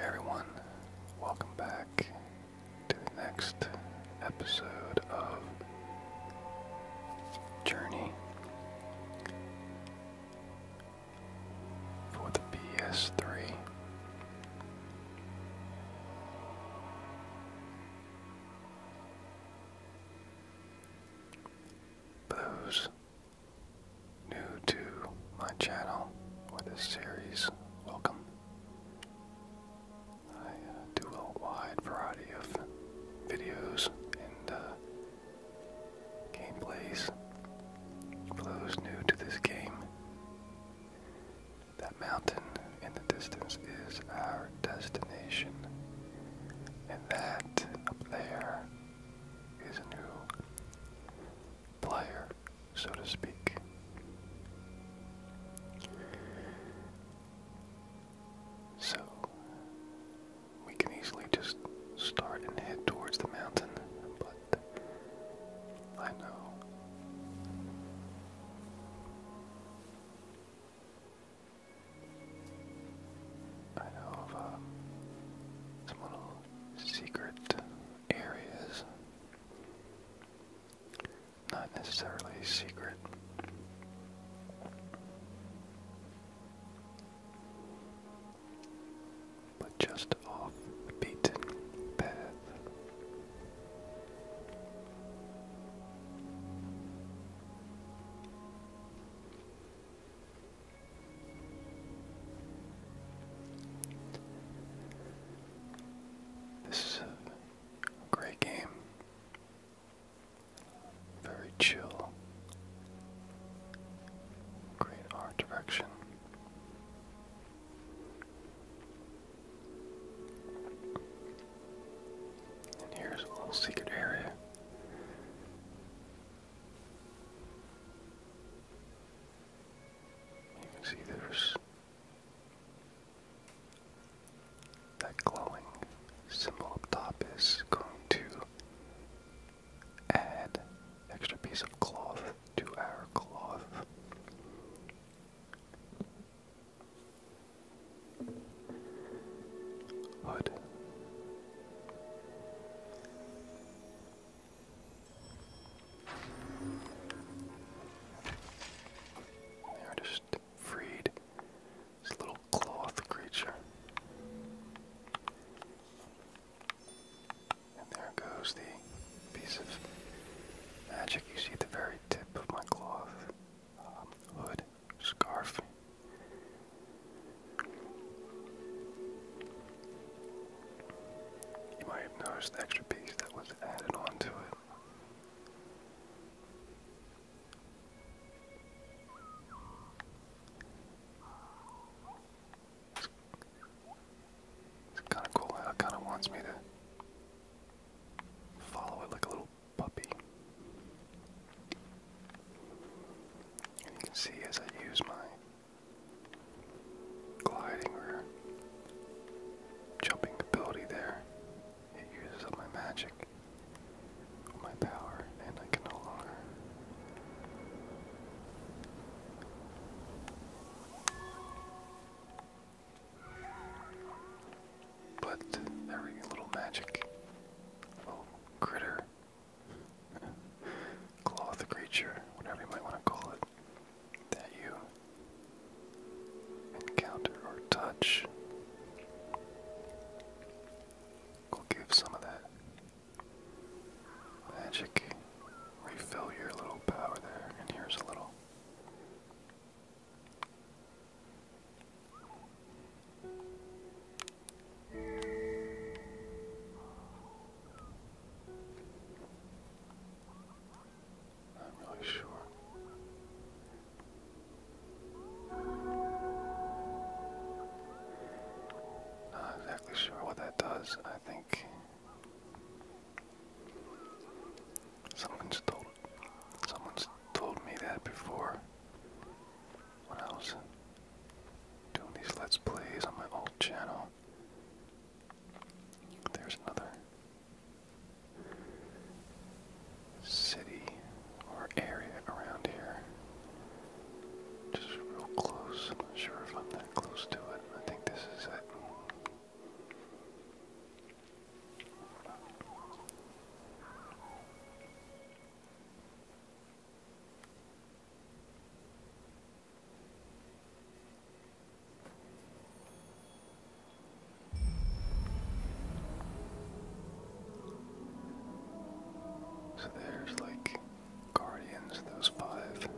everyone, welcome back to the next episode of Journey for the PS3. For new to my channel with this series, welcome. I uh, do a wide variety of videos and uh, gameplays for those new to this game. That mountain in the distance is our destination, and that up there is a new player, so to speak. So, we can easily just start and head towards the mountain, but I know I know of uh, some little secret areas. Not necessarily secret. But just off the beaten path. This is a great game. Very chill. Great art direction. And here's a little secret area. You can see there's that glowing symbol up top is going to add extra piece of cloth to our cloth hood. They are just freed this little cloth creature. And there goes the piece of magic you see at the very tip of my cloth hood, scarf. You might have noticed the extra piece that was added onto it. it's kind of cool. It kind of wants me to follow it like a little puppy. you can see as I use my gliding or jumping ability there, it uses up my magic, my power, and I can no longer. But every little magic, little critter, cloth creature, whatever you might want to call it, that you encounter or touch will give some of that magic. Refill your little power there, and here's a little. Not really sure. Not exactly sure what that does. I think someone's told someone's told me that before when I was doing these Let's Plays on my old channel. There's another city or area around here. Just real close. not sure if I'm that close to it. I think this is it. So there's like guardians, those five,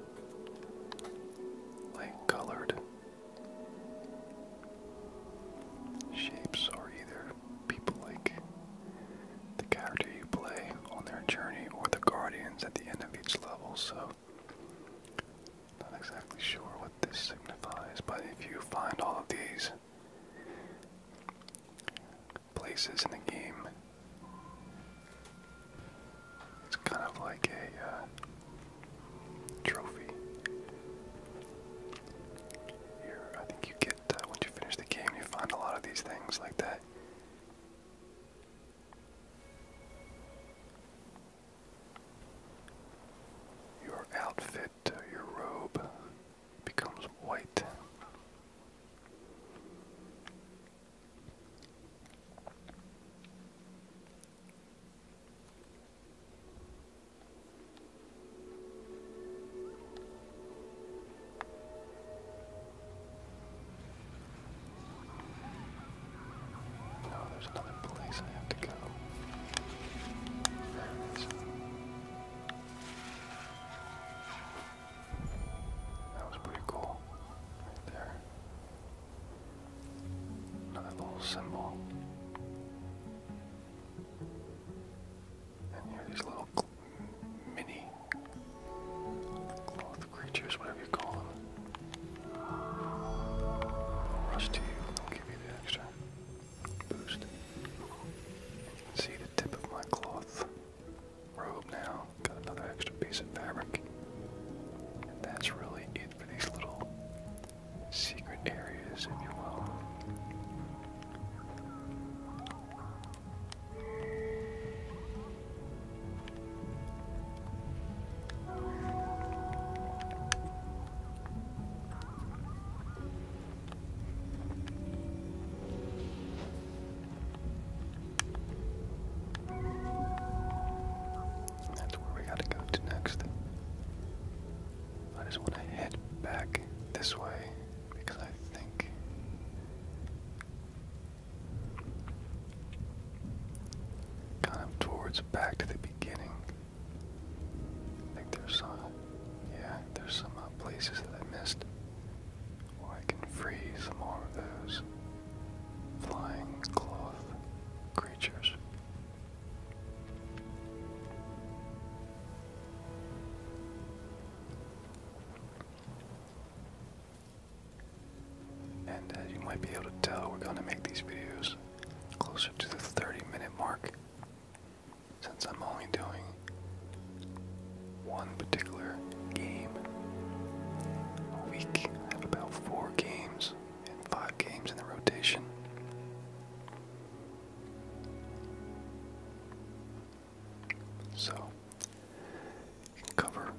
like colored shapes are either people like the character you play on their journey or the guardians at the end of each level, so not exactly sure what this signifies, but if you find all of these places in the game, it's kind of like a uh, trophy you I think you get uh, once you finish the game, you find a lot of these things like that. Your outfit, uh, your robe, becomes white. No, there's another place I have to go. That was pretty cool. Right there. Another little symbol. And you're these little mini cloth creatures, whatever you call them. rush to you, i give you the extra boost. see the tip of my cloth robe now. Got another extra piece of fabric. And that's really it for these little secret areas, if you will. that's where we gotta go to next. I just want to head back this way because I think kind of towards back to the beginning. I think there's some, yeah, there's some uh, places that I missed. Or I can free some more of those flying cloth creatures. And uh, you might be able to tell, we're going to make these videos closer to the 30 minute mark since I'm only doing one particular game a week. I have about four games and five games in the rotation. So, cover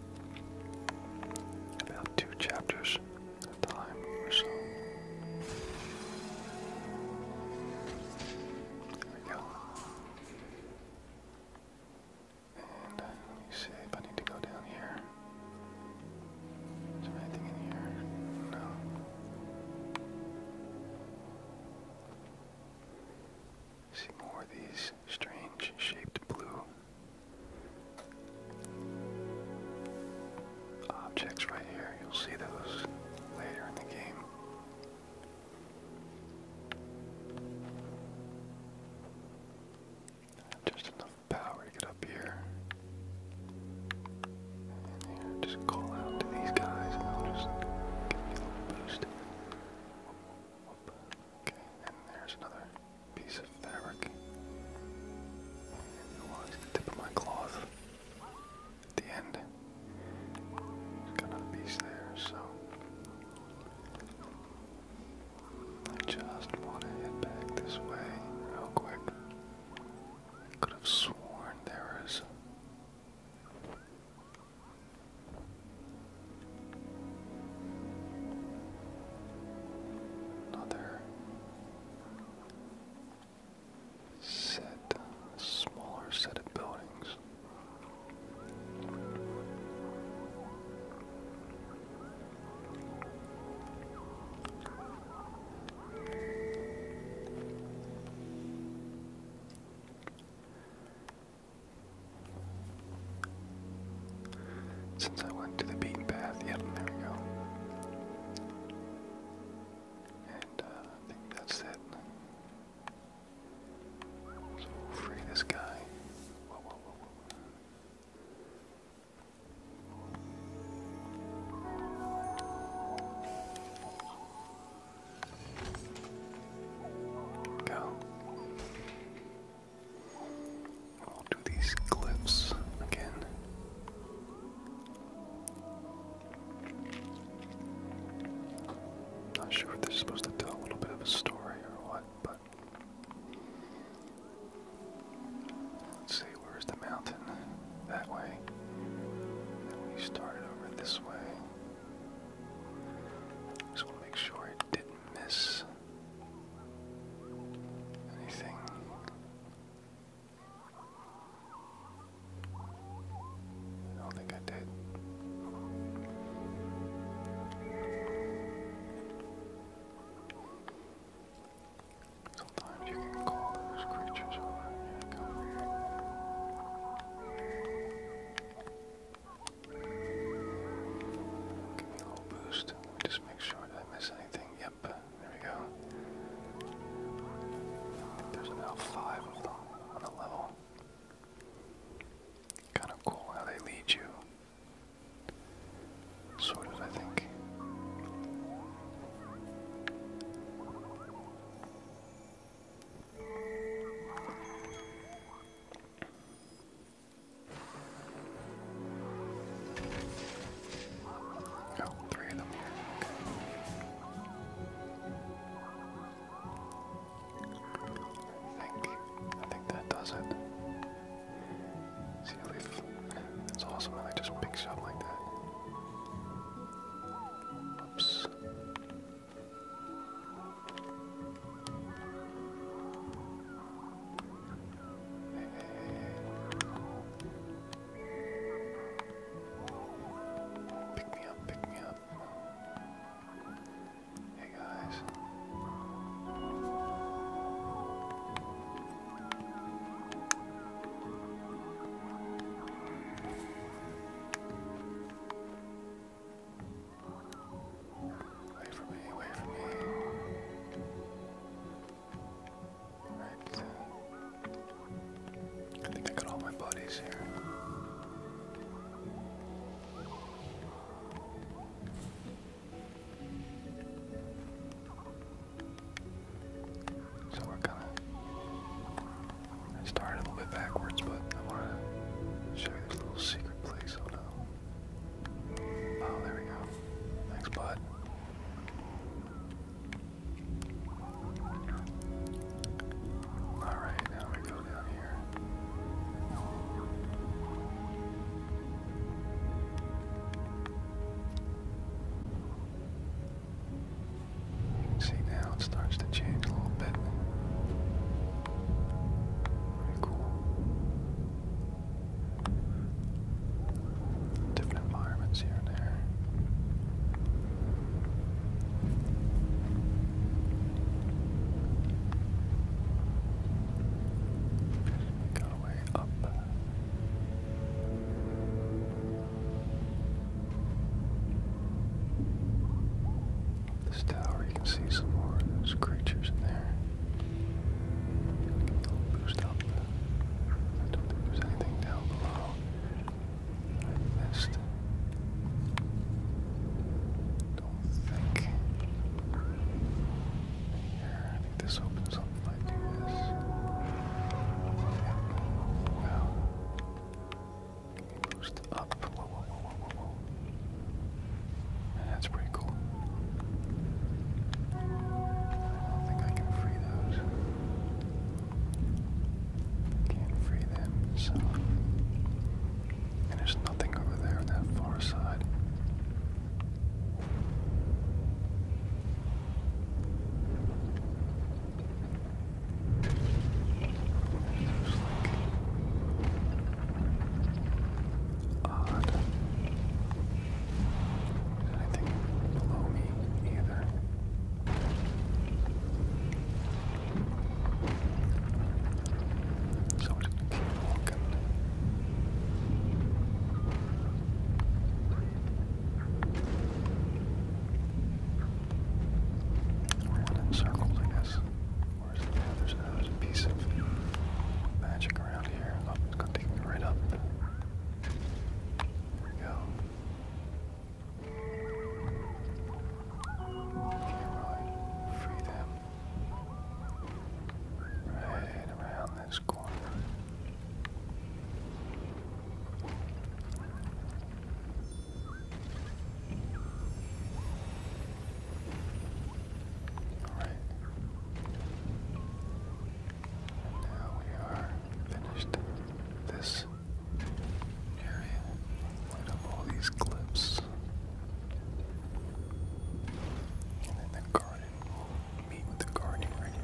about two chapters at a time or so. There we go. And uh, let me see if I need to go down here. Is there anything in here? No. See more of these strange shaped blue objects right here. You'll see those later in the game. Just enough power to get up here just call out to these guys and they'll just give you a little boost. Okay, and there's another piece of fabric. It was the tip of my cloth at the end. There's got another piece there, so I just want to head back this way real quick. Could have sworn there is. Another set, smaller set of buildings. Since I went to the beaten path, yep, there we go. And uh, I think that's it. So we'll free this guy. Go. we do these glyphs again. Not sure if they're supposed to tell a little bit of a story or what, but Let's see, where's the mountain? That way. then we started over this way. Just want to make sure I didn't miss anything. I don't think I did. Sometimes you can call those creatures over and come Give me a little boost. Just make sure I miss anything. Yep, there we go. There's about five of them on the level. Kind of cool how they lead you. Sort of, I think. Oh, them I think I think that does it it's awesome and they just picks you up like that. Oops. Pick me up, pick me up. Hey guys. Away from me, away from me. Right. I think I got all my bodies here. So we're kind of. started a little bit backwards, but I want to show you this little secret place. Oh, oh, there we go. Thanks, bud. Alright, now we go down here. You can See now it starts to change a little bit. Very cool. Different environments here and there. Got away up. This tower, you can see some more of those creatures in there. Give a boost up. don't think anything down below. I Don't think. Here this opens up like this. Wow. Boost up. whoa, whoa, whoa, whoa, whoa. That's pretty cool. I don't think I can free those. Can't free them, so. And there's nothing over there on that far side. Odd. Anything below me either. So we just keep walking. One in circles, I guess. Where's the yeah, there's another piece of magic around here. Oh, it's gonna take me right up. There we go. Okay, right. Free them. Right around around this Now we are finished this area. Light all these clips. And then the garden. We'll meet with the garden right here.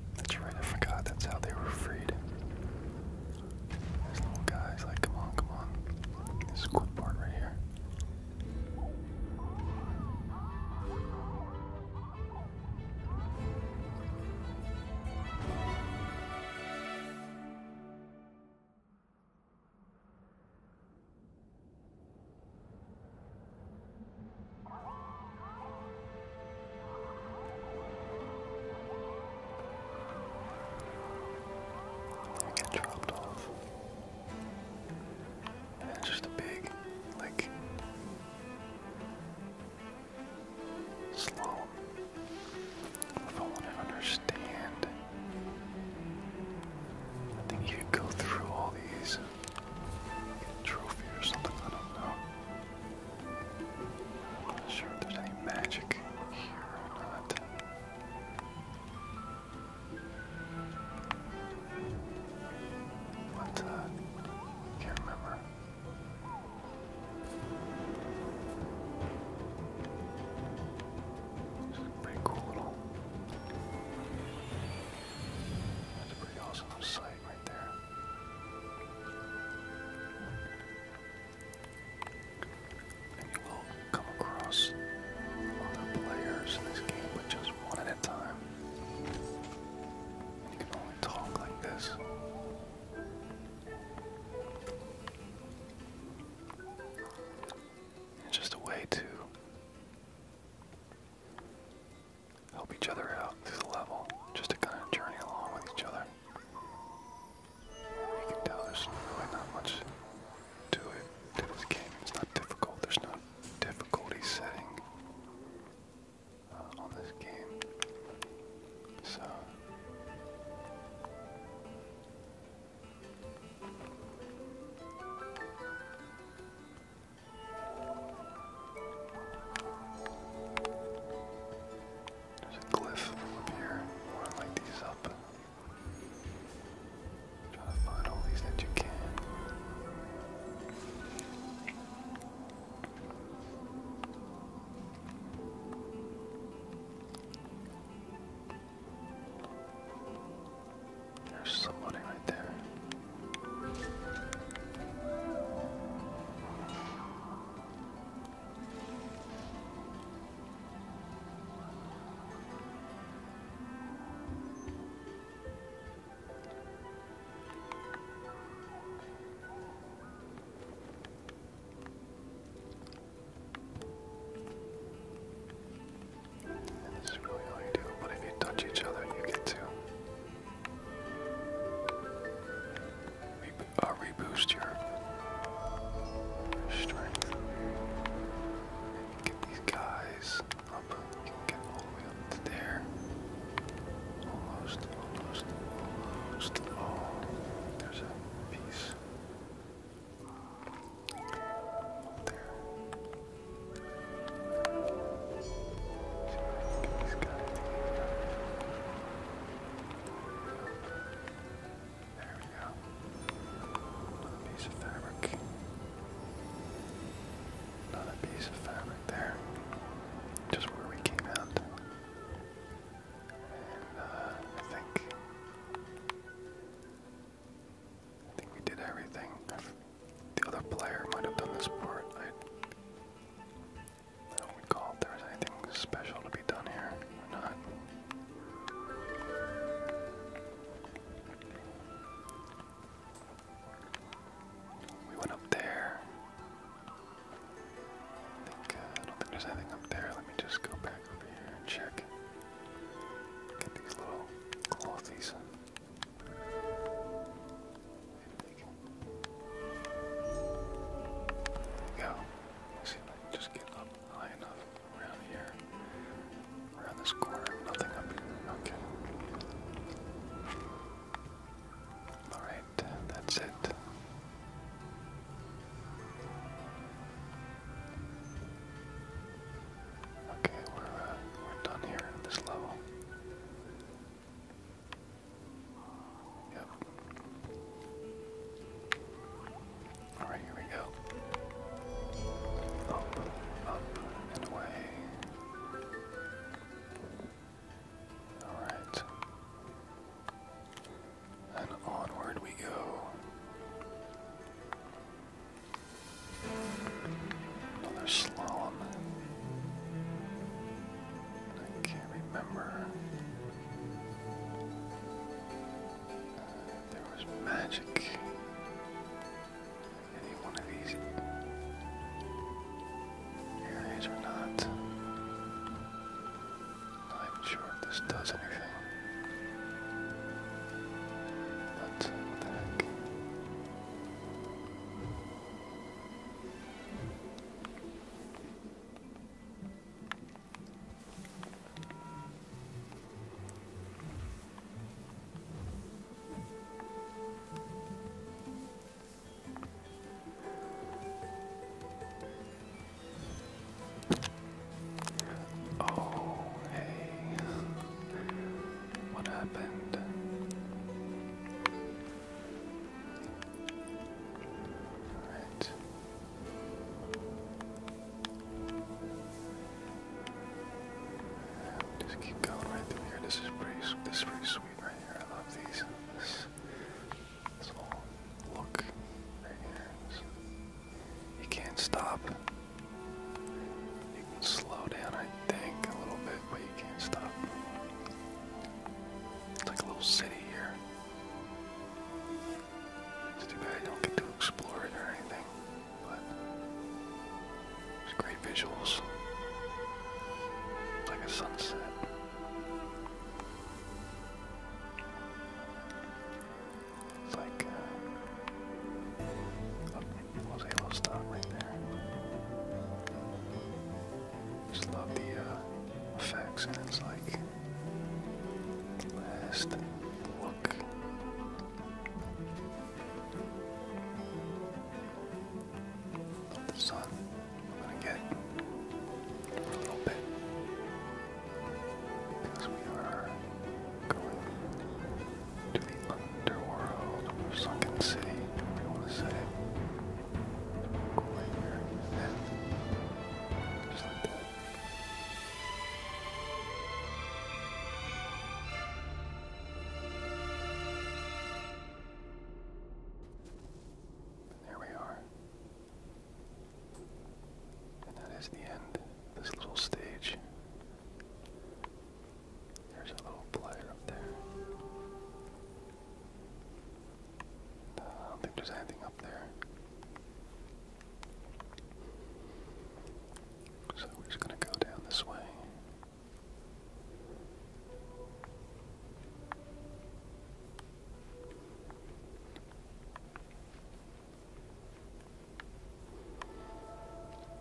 That's right, I forgot that's how they were freed. guy's like, come on, come on. This cool part right here. I get dropped off. it's just a big, like, slow. If I want to understand, I think you could go through all these, trophies or something, I don't know. Not sure if there's any magic here or not. What? Uh, can't remember. This a pretty cool little. That's a pretty awesome sight. And you will come across other players in this game, but just one at a time. And you can only talk like this. It's just a way to help each other out through the level, just to kind of journey along with each other. You can tell there's really not much to it, to this game. It's not difficult. There's no difficulty setting uh, on this game. So. There's a cliff up here. More like these up. Try to find all these that you can. There's somebody right there. That's really all you do, but if you touch each other, you get to I'll uh, reboost your strength. get these guys up. get all the way up to there. Almost, almost, almost. there's a piece. There. There we go. Another piece of fabric. Another piece of fabric there. Just where we came out. And uh, I think I think we did everything. The other player might have done this port. I, don't recall if there was anything special to be done here or not. We went up there. Uh, I don't think there's anything up there. Let me just go back over here and check. Get these little clothies. Go. See just get up high enough around here. Around this corner. Nothing up here. Okay. Alright, that's it. Okay, we're uh, we're done here at this level. Yep. All right, here we go. Up, up, and away. All right. And onward we go. Another slalom. I can't remember. there was magic. Any one of these areas or not. Not even sure if this does anything. But what the heck? Oh, hey. What happened? Just keep going right through here. This is pretty this is pretty sweet right here. I love these. This, look right here. you can't stop slow down, I think, a little bit, but you can't stop. It's like a little city here. It's too bad I don't get to explore it or anything, but it's great visuals. It's like a sunset. It's like uh, was able to stop right there. Just love the uh, effects, and it's like last look. the sun. I'm gonna get a little bit because we are going the underworld or sunken city, whatever you want to say it. Cool here. there we are. And that is the end this little stage. There's a little player up there. Uh, I don't think there's anything up there. So we're just going to go down this way.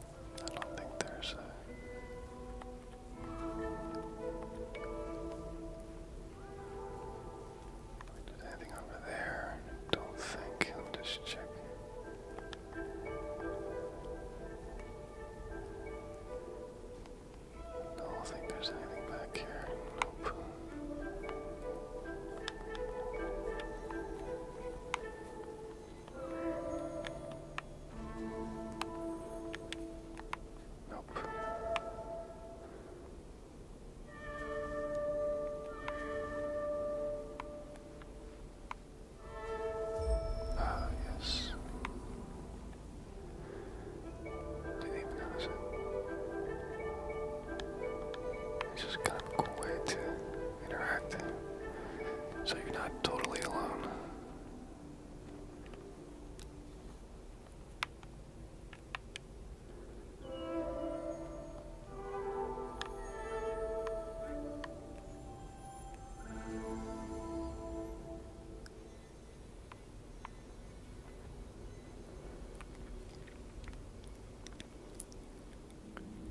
I don't think there's a. anything over there. don't think. just check. don't think there's anything back here. Nope. Ah, yes. Didn't even notice it. It's just kind of cool way to interact. So you're not totally alone.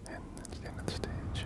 And that's the end of the stage.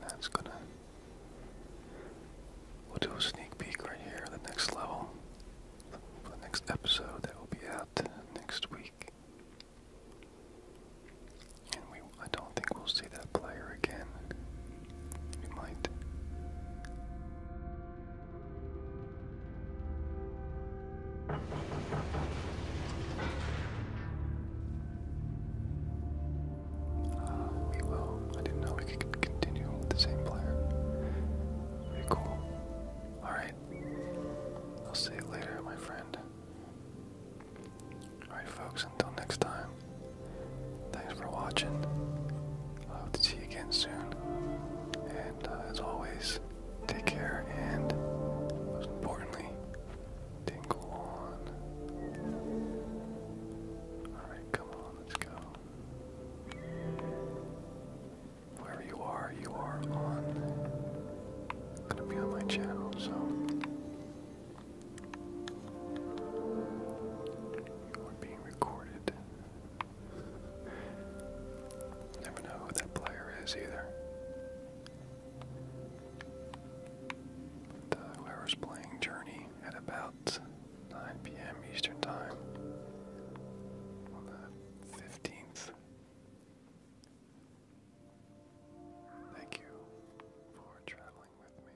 that's gonna. We'll do a sneak peek right here on the next level. the next episode that will be out next week. And we I don't think we'll see that player again. We might. Uh, we will. I didn't know we could continue with the same player. Pretty cool. Alright. I'll see you later, my friend. Alright, folks, until next time. Thanks for watching. I hope to see you again soon. And uh, as always, guys take care and most importantly, tingle on. Alright, come on, let's go. Wherever you are, you are on gonna be on my channel, so we're being recorded. Never know who that player is either. But, uh, playing Journey at about 9 p.m. Eastern Time on the 15th. Thank you for traveling with me.